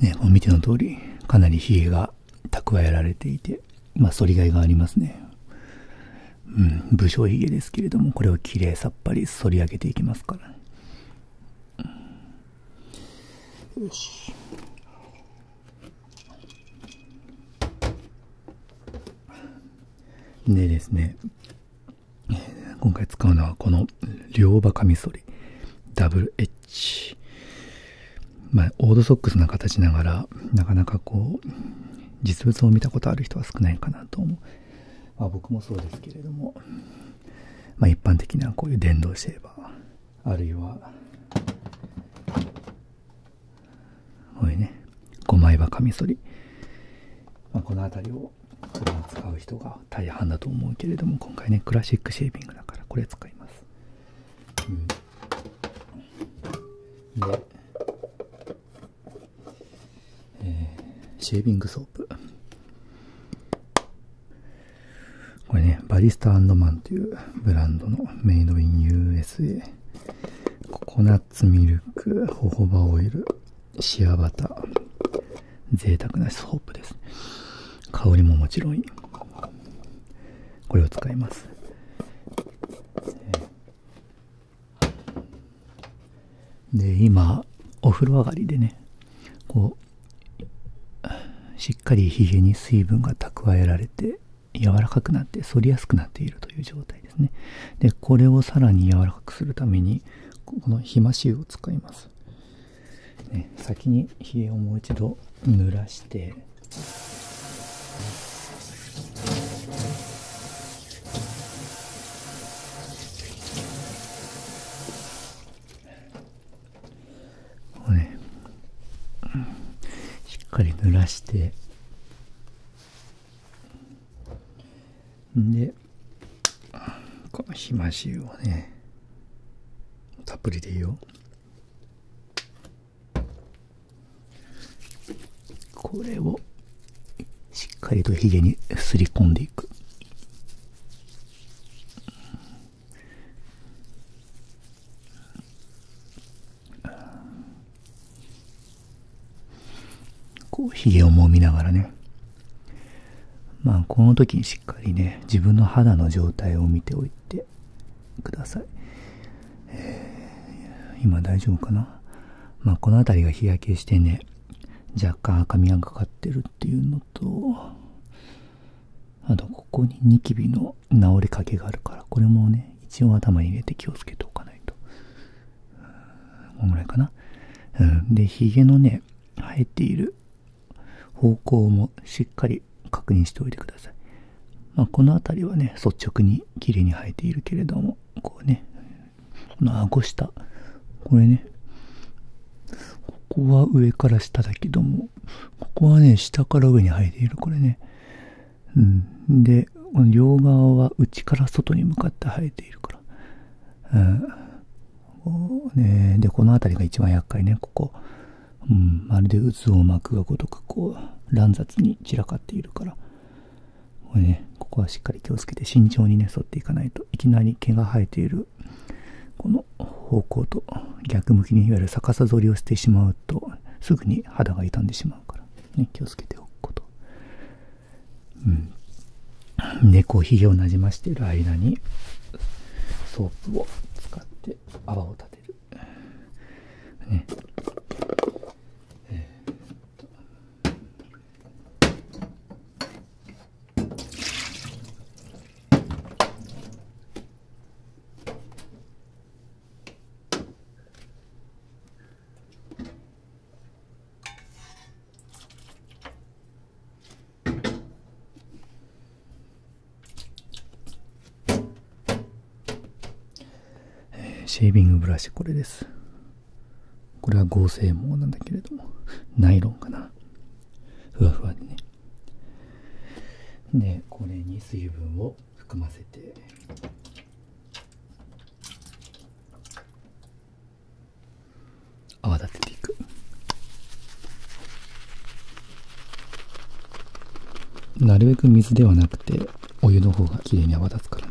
ね、お見ての通り、かなり冷えが蓄えられていて、ま反りがいがありますね。うん、武将髭ですけれども、これをきれいさっぱり反り上げていきますからね。よし。でですね、今回使うのはこの両刃カミソリ、ダブルエッジ。まあ、オードソックスな形ながら、なかなかこう、実物を見たことある人は少ないかなと思う。あ、僕もそうですけれども、まあ、一般的なこういう電動シェーバー、あるいは、これね5枚刃カミソリ、まこの辺りを普段使う人が大半だと思うけれども今回ねクラシックシェービングだからこれ使います、うん、で、えシェービングソープこれねバリスタマンというブランドのメイドイン USA ココナッツミルク、ホホバオイル、シアバター、贅沢なソープです。香りももちろんいい。これを使います。で、今、お風呂上がりでね、こう、しっかりひげに水分が蓄えられて、柔らかくなって反りやすくなっているという状態ですねでこれをさらに柔らかくするためにこのひましを使います、先に冷えをもう一度濡らしてこうねしっかり濡らしてでこのひま汁をねたっぷりでいいよこれをしっかりとヒゲにすり込んでいくこう、ひげをもみながらね。まあ、この時にしっかりね、自分の肌の状態を見ておいてください。今大丈夫かなまこの辺りが日焼けしてね、若干赤みがかかってるっていうのと、あと、ここにニキビの治りかけがあるから、これもね、一応頭に入れて気をつけておかないとこんぐらいかな、うん、でひげのね生えている方向もしっかり確認しておいてください、まあ、この辺りはね率直に綺麗に生えているけれどもこうねこの顎下これねここは上から下だけどもここはね下から上に生えているこれねうん、でこの両側は内から外に向かって生えているから、うんね、でこの辺りが一番厄介ねここ、うん、まるで渦を巻くがごとくこう乱雑に散らかっているからこれ、ね、ここはしっかり気をつけて慎重にね沿っていかないといきなり毛が生えているこの方向と逆向きにいわゆる逆さ反りをしてしまうとすぐに肌が傷んでしまう。まうから、ね、気をつけておくこと、うん、でコーヒーをなじましている間にソープを使って泡を立てる、ねえー、シェービングブラシこれですこれは合成毛なんだけれどもナイロンかなふわふわでねでこれに水分を含ませて泡立てていくなるべく水ではなくてお湯の方がきれいに泡立つからね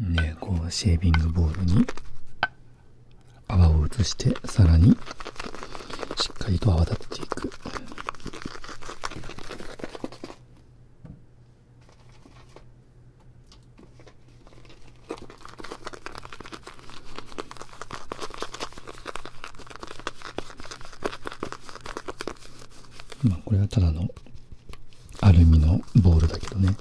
ねえ、このシェービングボールに泡を移してさらにしっかりと泡立っていくまあこれはただのアルミのボールだけどね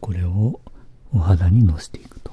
これをお肌にのせていくと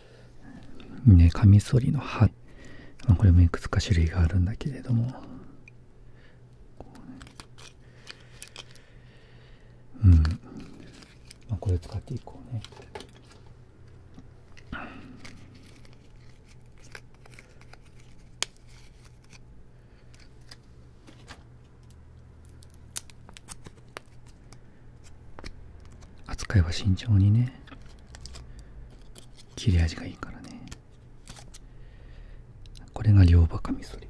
ね、カミソリの刃。これもいくつか種類があるんだけれども。うん。まあ、これ使っていこうね。扱いは慎重にね。切れ味がいいからねこれが両刃かミソリ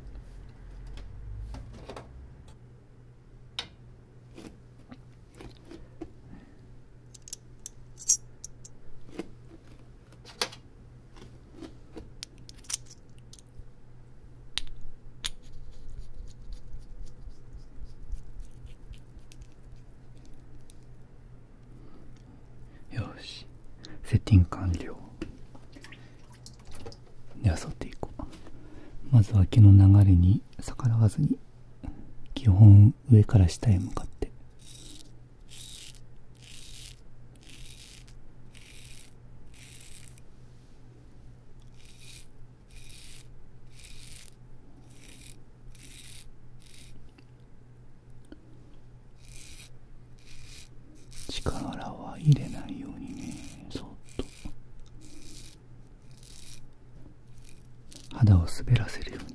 よしセッティング完了では沿っていこうまずは毛の流れに逆らわずに基本上から下へ向かって力は入れないようにねそっと肌を滑らせるようにね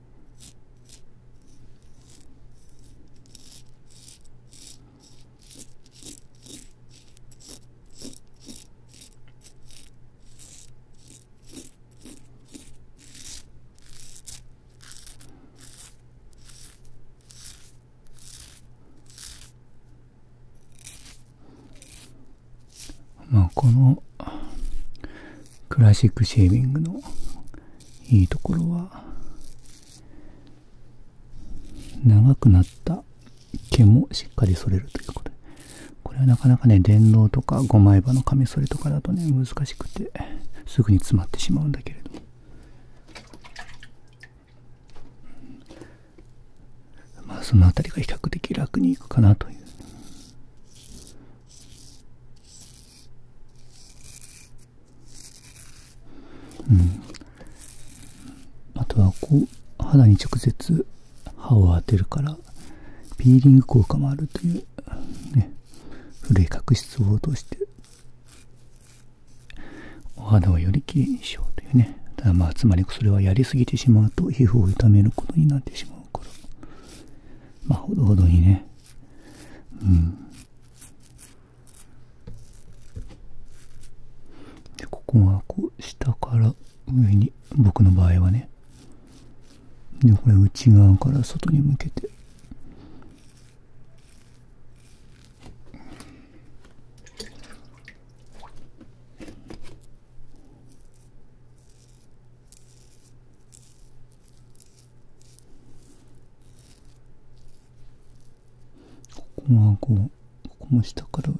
まあこのクラシックシェービングのいいところは、長くなった毛もしっかり剃れるということで。これはなかなかね、電動とか5枚刃のカミソリとかだとね、難しくて、すぐに詰まってしまうんだけれども。まあ、その辺りが比較的楽にいくかなという。うん、あとはこう肌に直接歯を当てるからピーリング効果もあるという、ね、古い角質を落としてお肌をよりきれにしようというねただまあつまりそれはやりすぎてしまうと皮膚を痛めることになってしまうからまあほどほどにねうんでここがこう下から上に僕の場合はねでこれ内側から外に向けてここはこうここも下から上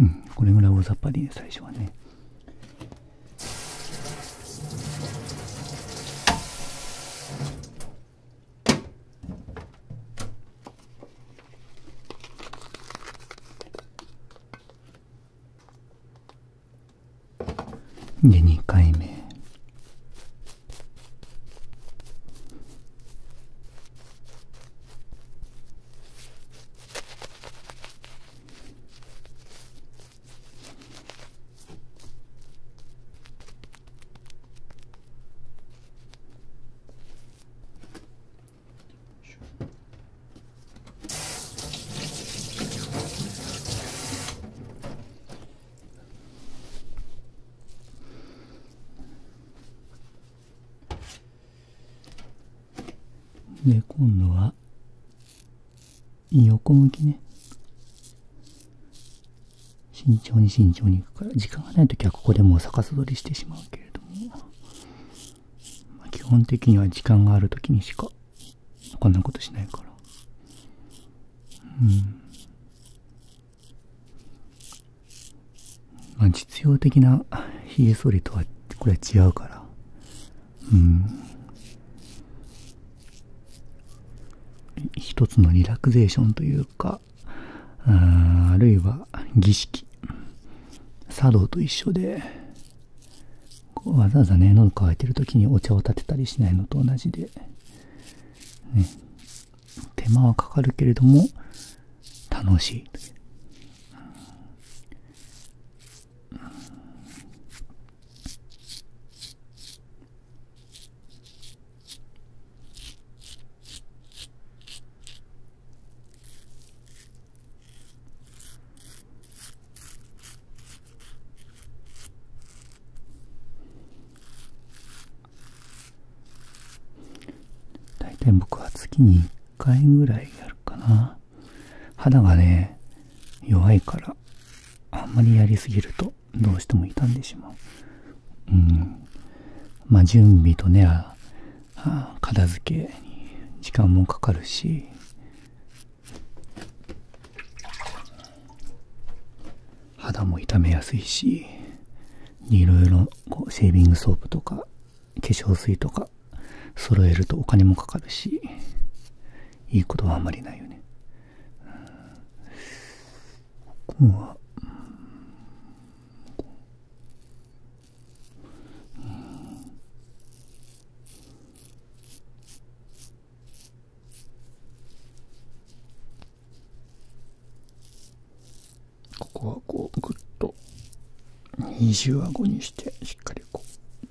うん、これぐらい大雑把でいい最初はね。で2回目で今度は横向きね慎重に慎重に行くから時間がない時はここでもう逆さ取りしてしまうけれどもまあ、基本的には時間がある時にしかこんなことしないからうんまあ実用的なひげ剃りとはこれは違うからうん一つのリラクゼーションというかああるいは儀式茶道と一緒でわざわざね喉乾いてる時にお茶を立てたりしないのと同じで、手間はかかるけれども楽しい大体僕は月に1回ぐらいやるかな肌がね弱いからあんまりやりすぎるとどうしても傷んでしまううんまあ準備とね片付けに時間もかかるし肌も傷めやすいしいろいろこうシェービングソープとか化粧水とか揃えるとお金もかかるしいいことはあんまりないよねここはうんここはこうぐっと二重顎にしてしっかりこう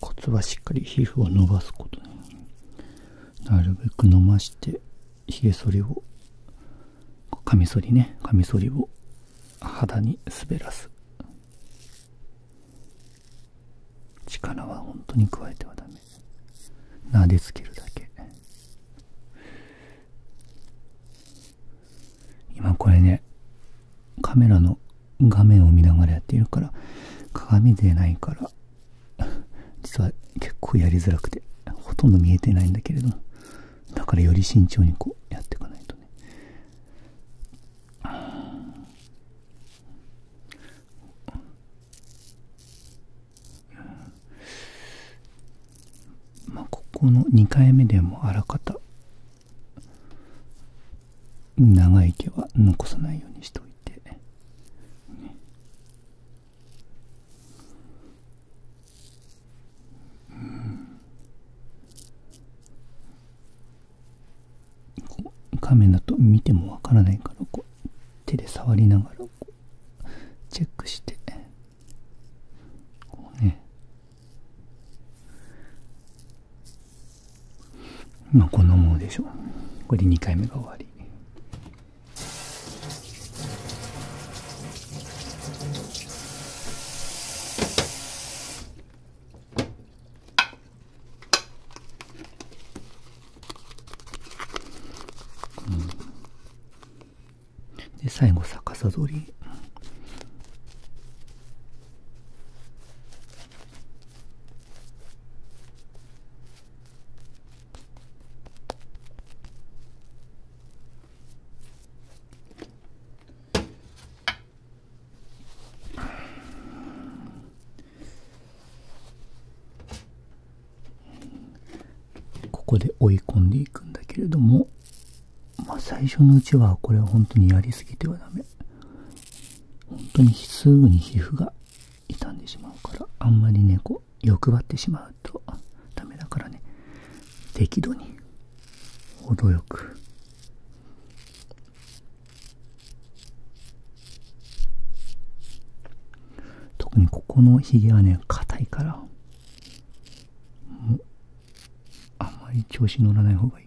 骨ツはしっかり皮膚を伸ばすことねなるべく伸ばしてひげ剃りをカミソリねカミソリを肌に滑らす力は本当に加えてはダメ撫でつけるだけ今これねカメラの画面を見ながらやっているから鏡でないから実は結構やりづらくてほとんど見えてないんだけれどもだからより慎重にこうやっていかないとねまあここの2回目でもあらかた長い毛は残さないようにしておいて、ね、うん。こう画面だと見てもわからないからこう手で触りながらこうチェックしてこうねまあこんなものでしょうこれで2回目が終わりうん、で最後逆さ取り。ここで追い込んでいくんだけれども、まあ、最初のうちはこれは本当にやりすぎてはダメ本当にすぐに皮膚が傷んでしまうからあんまりね欲張ってしまうダメだからね適度に程よく特にここのひげはね硬いからもうあまり調子乗らない方がいい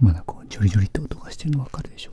まだこうジョリジョリって音がしてるの分かるでしょ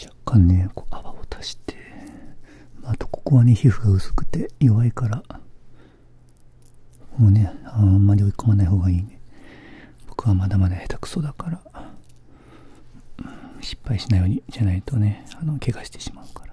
若干ねこう泡を足して、あとここはね皮膚が薄くて弱いからもうねあんまり追い込まない方がいいね僕はまだまだ下手くそだから失敗しないようにじゃないとねあの怪我してしまうから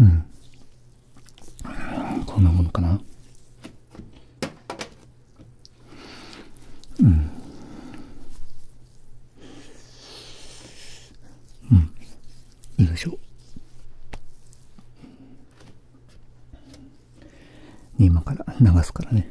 うんこんなものかなうんうんよいしょ今から流すからね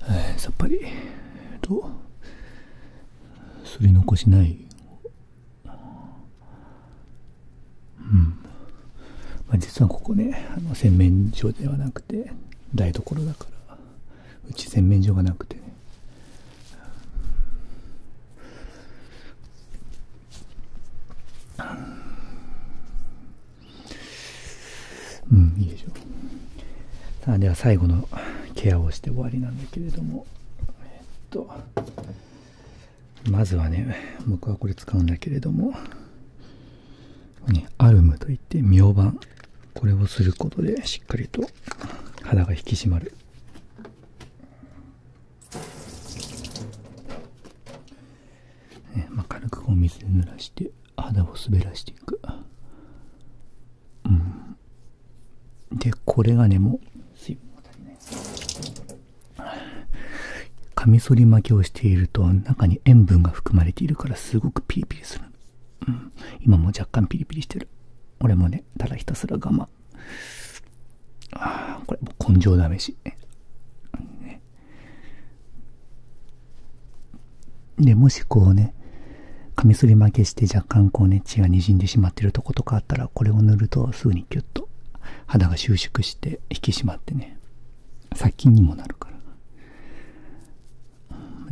はい、さっぱり、えっと、すり残しない。うん。まあ、実はここね、あの洗面所ではなくて、台所だから、うち洗面所がなくてね。うんいいでしょうさあでは最後のケアをして終わりなんだけれどもまずはね僕はこれ使うんだけれどもね、アルムといって明板これをすることでしっかりと肌が引き締まるねまあ、軽くお水で濡らして肌を滑らしていくうんでこれがねもう水分が足りないカミソリ巻きをしていると中に塩分が含まれているからすごくピリピリする、うん、今も若干ピリピリしてる俺もねただひたすら我慢あこれもう根性試し、ね、で、もしこうね、カミソリ負けして若干こうね、血が滲んでしまってるとことかあったら、これを塗るとすぐにキュッと肌が収縮して引き締まってね、殺菌にもなるから。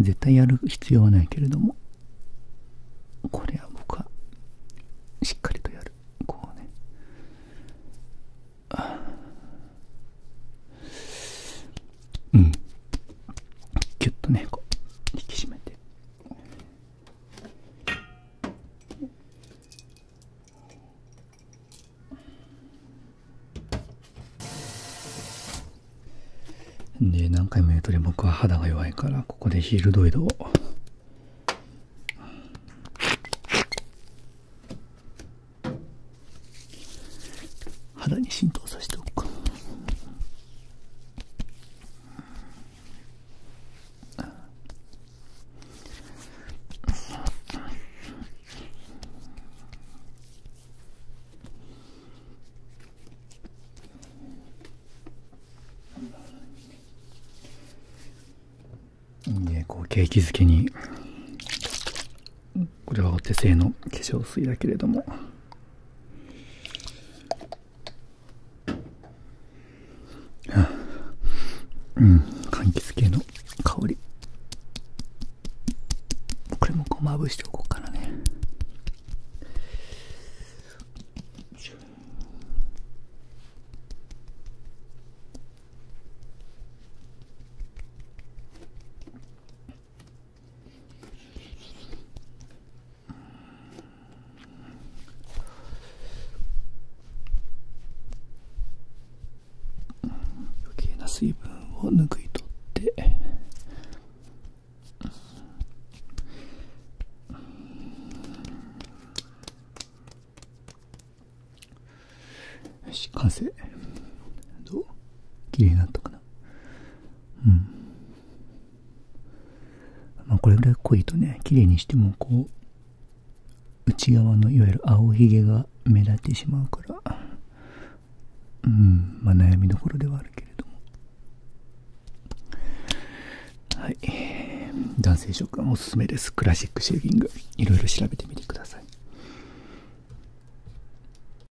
絶対やる必要はないけれども、これは僕はしっかりとやる。こうね。うんキュッとねこう引き締めてで何回も言うとり僕は肌が弱いからここでヒールドイドを肌に浸透させておくかいいねこう景気づけにこれはお手製の化粧水だけれどもうん柑橘系の香りこれもこうまぶしておこうかなね余計な水分を拭い取ってし完成どう綺麗になったかなうん。まこれぐらい濃いとね、綺麗にしてもこう、内側のいわゆる青ひげが目立ってしまうから、うん、ま悩みどころではあるけれども。はい。男性諸君おすすめです。クラシックシェービング。いろいろ調べてみてください。